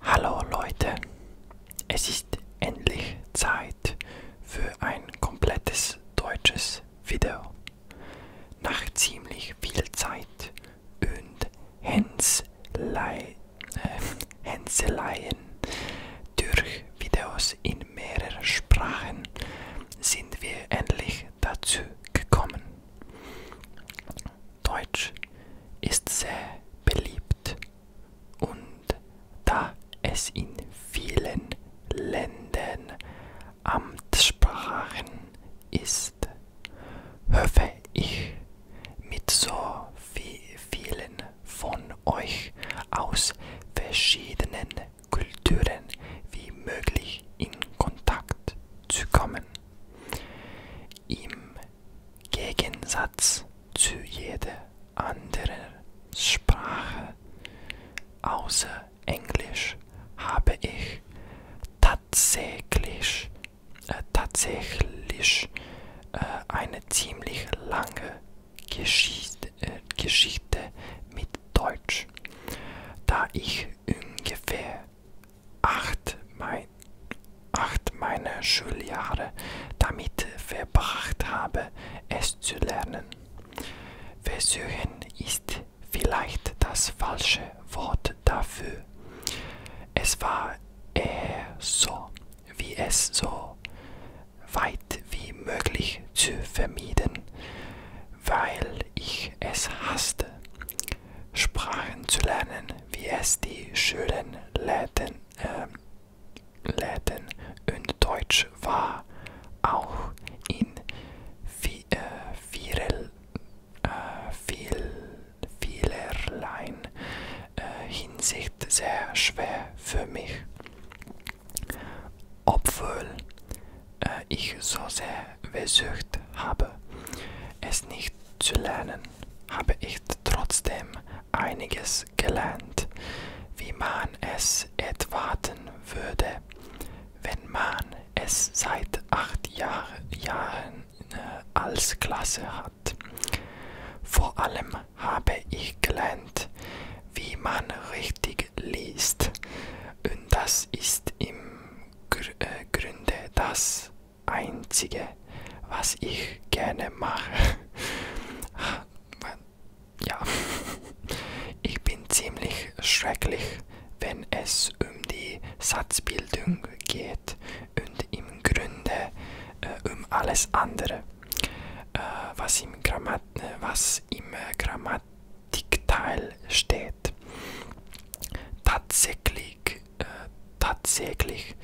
Hallo Leute, es ist endlich Zeit für ein komplettes deutsches Video. Nach ziemlich viel Zeit und Hänselei, äh, Hänseleien durch Videos in mehreren Sprachen sind wir endlich dazu gekommen. Deutsch ist sehr beliebt und da es in vielen Ländern Amtssprachen ist, hoffe ich mit so vielen von euch aus verschiedenen Kulturen wie möglich in Kontakt zu kommen. Im Gegensatz zu jeder anderen Sprache außer Englisch habe ich tatsächlich, äh, tatsächlich äh, eine ziemlich lange Geschichte, äh, Geschichte mit Deutsch, da ich ungefähr acht, mein, acht meiner Schuljahre damit verbracht habe, es zu lernen. Versuchen ist vielleicht das falsche Wort dafür. Es war eher so, wie es so weit wie möglich zu vermieden, weil ich es hasste. Sprachen zu lernen, wie es die schönen Läden, äh, Läden und Deutsch war auch in vi äh, virel, äh, viel, vielerlei äh, Hinsicht sehr schwer für mich obwohl äh, ich so sehr versucht habe, es nicht zu lernen, habe ich trotzdem einiges gelernt, wie man es erwarten würde, wenn man es seit acht Jahr, Jahren äh, als Klasse hat. Vor allem habe ich gelernt, wie man richtig liest, und das ist im Gr äh, Grunde das Einzige, was ich gerne mache. ja, ich bin ziemlich schrecklich, wenn es um die Satzbildung geht und im Grunde äh, um alles andere, äh, was im, Grammat äh, was im äh, Grammat Diktal steht. Tatsächlich, äh, tatsächlich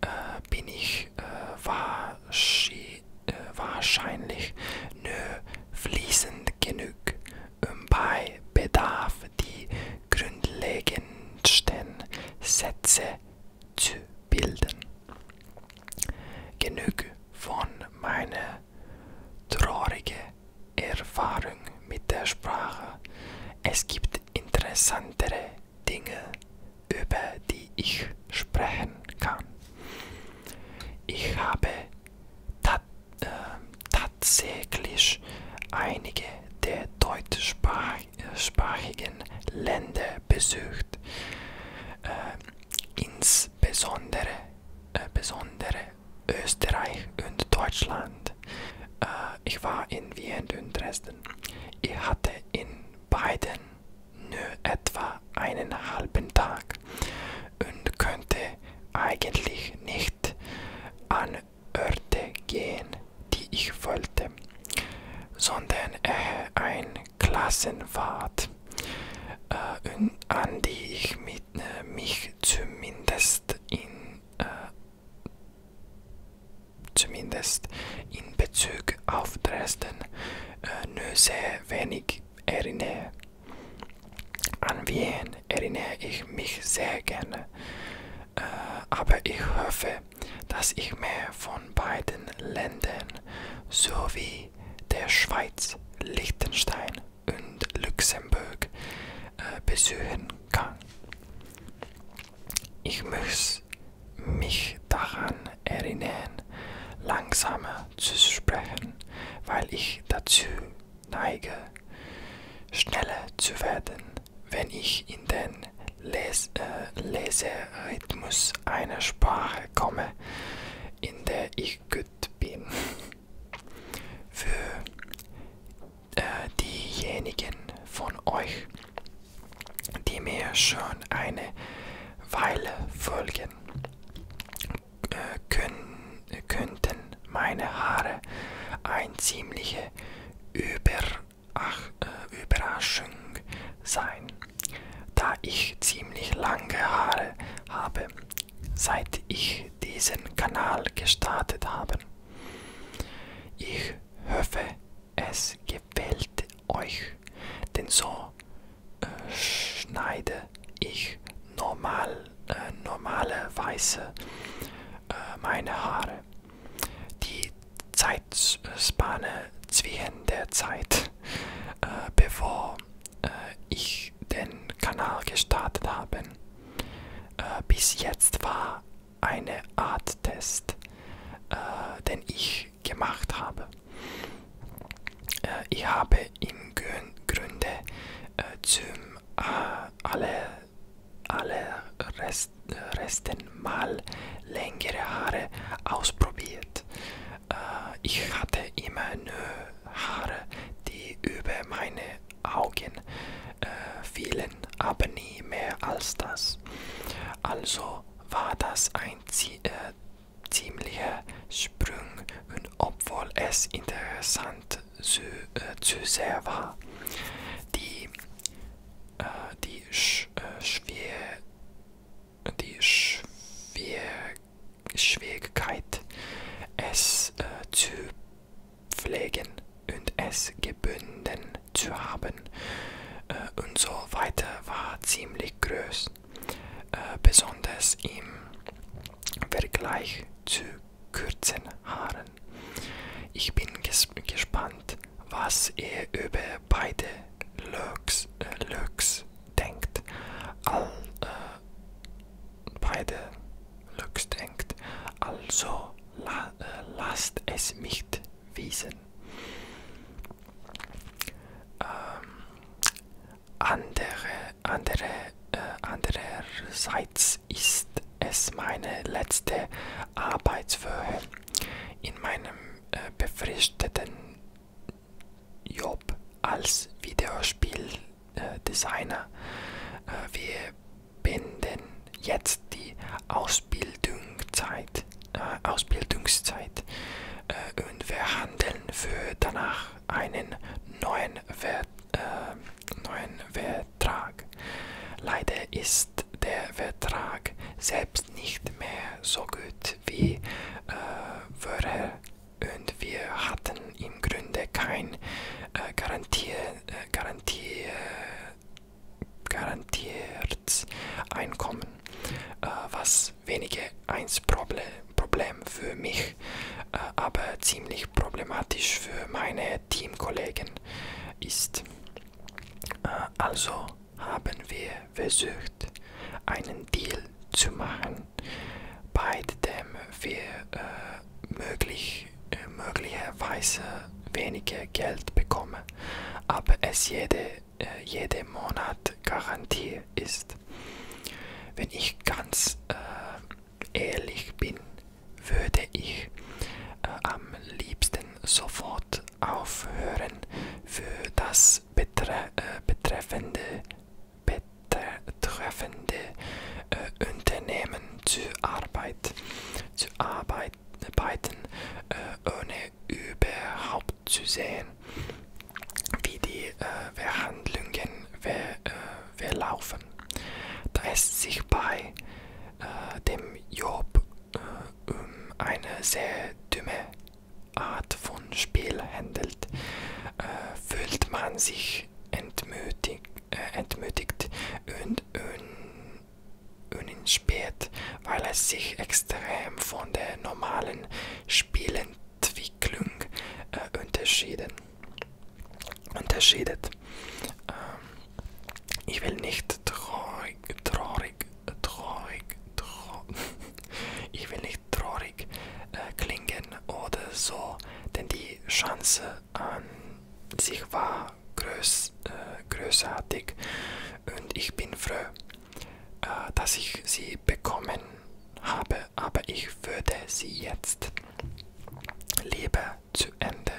äh, bin ich äh, wahrscheinlich, äh, wahrscheinlich nur fließend genug, um bei Bedarf die grundlegendsten Sätze zu bilden. Genug von meiner traurige Erfahrung mit der Sprache. Es gibt interessantere Dinge, über die ich sprechen kann. Ich habe tat, äh, tatsächlich einige der deutschsprachigen äh, Länder besucht. Äh, insbesondere äh, besondere Österreich und Deutschland. Äh, ich war in Wien und Dresden. Ich hatte in beiden nur etwa einen halben Tag und könnte eigentlich nicht an Orte gehen, die ich wollte, sondern eher äh, ein Klassenfahrt, äh, an die ich mit, äh, mich zumindest in, äh, zumindest in Bezug auf Dresden äh, nur sehr wenig erinnere. An Wien erinnere ich mich sehr gerne, äh, aber ich hoffe, dass ich mehr von beiden Ländern sowie der Schweiz, Liechtenstein und Luxemburg äh, besuchen kann. Ich muss mich daran erinnern, langsamer zu sprechen, weil ich dazu neige, schneller zu werden, wenn ich in den Les äh, Leserhythmus einer Sprache komme, in der ich gut bin. Für äh, diejenigen von euch, die mir schon eine Weile folgen, äh, können, könnten meine Haare ein ziemlicher Über ach, äh, Überraschung sein, da ich ziemlich lange Haare habe, seit ich diesen Kanal gestartet habe. Ich hoffe, es gefällt euch, denn so äh, schneide ich normal, äh, normalerweise äh, meine Haare. Die Zeitspanne zwischen der Zeit, äh, bevor äh, ich den Kanal gestartet habe, äh, bis jetzt war eine Art Test, äh, den ich gemacht habe. Äh, ich habe im Grün Grunde äh, zum äh, alle, alle Rest, Resten mal längere Haare ausprobiert. Äh, ich hatte immer nur Haare, die über meine Augen äh, fielen, aber nie mehr als das. Also war das ein Ziel. Äh, ziemlicher Sprung und obwohl es interessant zu, äh, zu sehr war. Die die Sch äh, Schwer die Schwer Schwierigkeit, es äh, zu pflegen und es gebunden zu haben äh, und so weiter war ziemlich groß, äh, besonders im Vergleich zu kurzen Haaren können. Ich bin ges gespannt, was ihr über beide Lurks, äh, Lurks denkt. All, äh, beide Lurks denkt. Also la äh, lasst es mich wissen. Ähm, andere, andere, äh, andererseits Allerdings ist es meine letzte Arbeitswoche in meinem äh, befristeten Job als Videospieldesigner. Äh, äh, wir binden jetzt die Ausbildungszeit, äh, Ausbildungszeit äh, und verhandeln für danach einen neuen Wert. Äh, neuen Wert Vertrag. Leider ist der Vertrag selbst nicht mehr so gut wie äh, vorher und wir hatten im Grunde keine äh, Garantie, äh, Garantie, garantiertes Einkommen, äh, was weniger ein Problem, Problem für mich, äh, aber ziemlich problematisch für meine Teamkollegen ist. Äh, also haben wir versucht, einen Deal zu machen, bei dem wir äh, möglich, äh, möglicherweise weniger Geld bekommen, aber es jede, äh, jeden Monat Garantie ist. Wenn ich ganz äh, ehrlich bin, würde ich äh, am liebsten sofort aufhören, für das betre äh, betreffende, betreffende äh, Unternehmen zu, Arbeit, zu arbeiten, äh, ohne überhaupt zu sehen, wie die äh, Verhandlungen ver, äh, wir laufen. Da es sich bei äh, dem Job äh, um eine sehr dumme Art von Spiel handelt, äh, fühlt man sich entmutigt, äh, entmutigt und uninspiriert, weil es sich extrem von der normalen Spielentwicklung äh, unterschieden unterscheidet. Ähm, ich will nicht traurig, traurig, traurig, traurig. ich will nicht traurig äh, klingen oder so, denn die Chance an sich war groß, äh, großartig und ich bin froh, äh, dass ich sie bekommen habe, aber ich würde sie jetzt Liebe zu Ende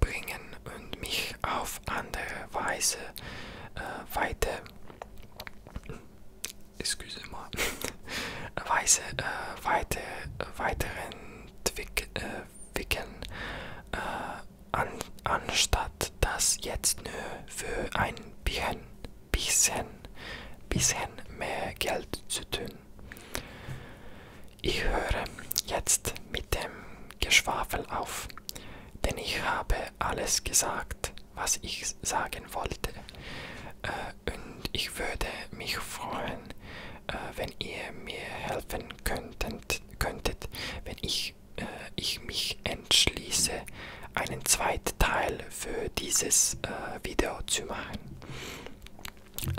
bringen und mich auf andere Weise äh, weiter, excuse moi, Weise äh, weiter, weiterentwickeln, äh, äh, an, anstatt das jetzt nur für ein Bieren bisschen, bisschen mehr Geld zu tun. Ich höre jetzt mit dem Geschwafel auf, denn ich habe alles gesagt, was ich sagen wollte. Äh, und ich würde mich freuen, äh, wenn ihr mir helfen könntet, könntet wenn ich, äh, ich mich entschließe, einen zweiten Teil für dieses äh, Video zu machen.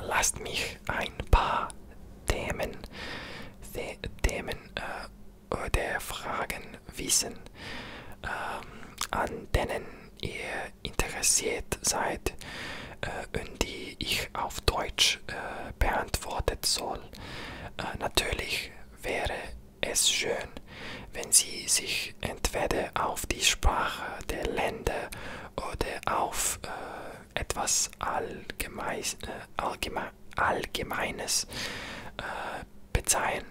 Lasst mich ein paar Themen, The Themen äh, oder Fragen wissen, ähm, an denen ihr interessiert seid äh, und die ich auf Deutsch äh, beantwortet soll. Äh, natürlich wäre es schön, wenn sie sich entweder auf die Sprache der Länder oder auf äh, etwas Allgemeis, äh, Allgeme Allgemeines äh, bezeihen,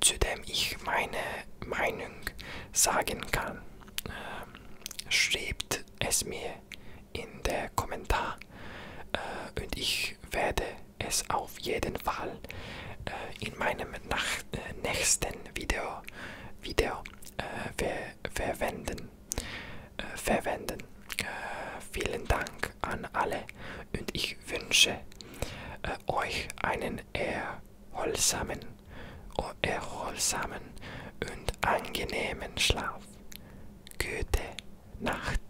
zu dem ich meine Meinung sagen kann. Ähm, schreibt es mir in der Kommentar äh, und ich werde es auf jeden Fall äh, in meinem nach, äh, nächsten Video, Video äh, ver verwenden. Äh, verwenden. Äh, vielen Dank an alle und ich wünsche äh, euch einen erholsamen, oh, erholsamen und angenehmen Schlaf. Gute Nacht.